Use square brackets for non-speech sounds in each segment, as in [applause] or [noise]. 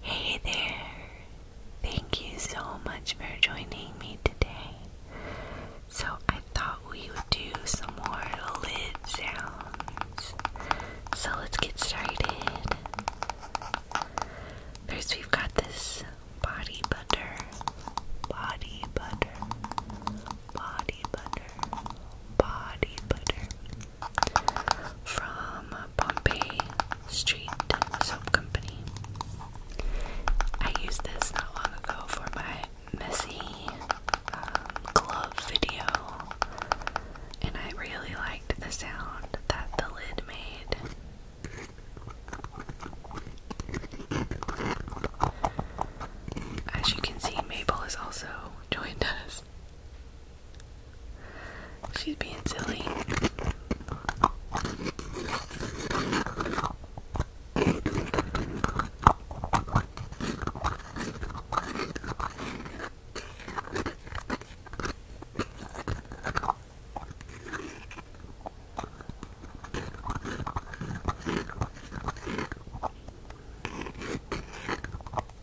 Hey there! Thank you so much for joining me today. So, I thought we would do some more lid sounds. So, let's get started. First, we've got this body butter. Body butter. Body butter. Body butter from Pompey Street Soap Company. I used this not long ago for my messy um, glove video, and I really liked the sound that the lid made. As you can see, Maple is also joined us. She's being silly.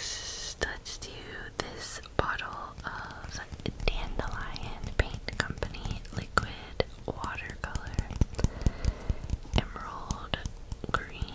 let's do this bottle of Dandelion Paint Company liquid watercolor. Emerald green.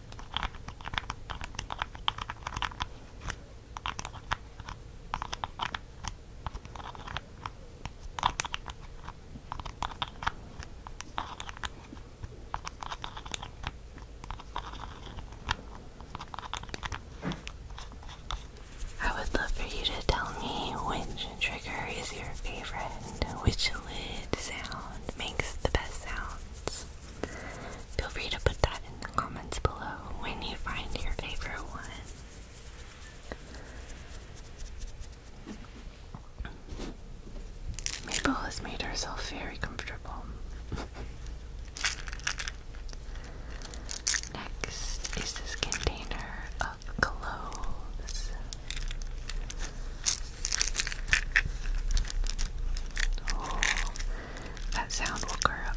I would love for you to tell me which trigger is your favorite and which lid sound makes the best sounds. Feel free to put that in the comments below when you find your favorite one. Mabel has made herself very comfortable. [laughs] Next is this container of clothes. Oh, that sound woke her up.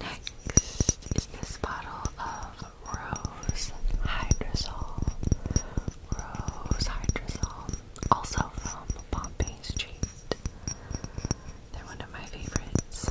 Next is this bottle of rose hydrazole, rose hydrazole, also from Bombay Street. They're one of my favorites.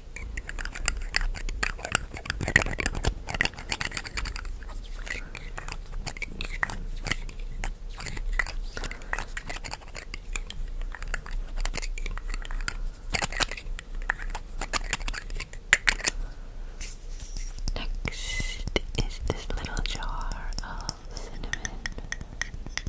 Next is this little jar of cinnamon.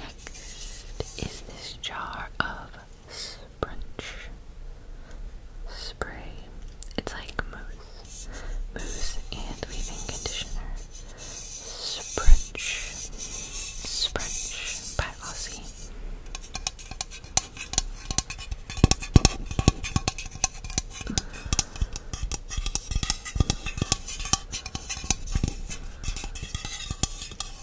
Next is this jar of Sprunch Spray. It's like mousse. Mousse and leave-in conditioner. Sprunch. Sprunch by Aussie.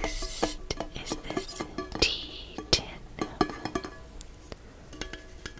Next is this tea tin.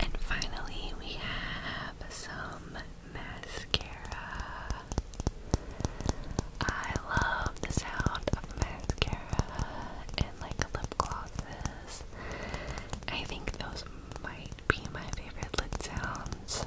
And finally, we have some mascara. I love the sound of mascara and like lip glosses. I think those might be my favorite lip sounds.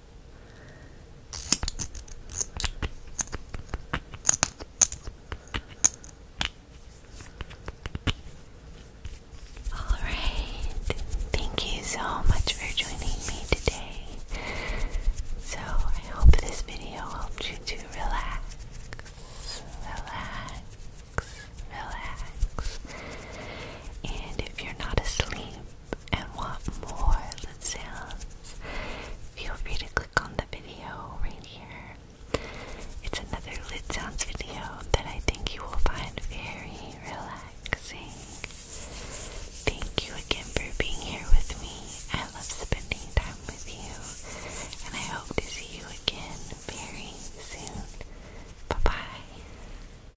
All right. Thank you so much for joining me today. So, I hope this video helped you to relax, relax, relax. And if you're not asleep, and want more lid sounds, feel free to click on the video right here. It's another lit sounds video that I think you will find very relaxing. Thank you again for being here with me. I love spending time with you, and I hope to see you again very soon. Bye bye.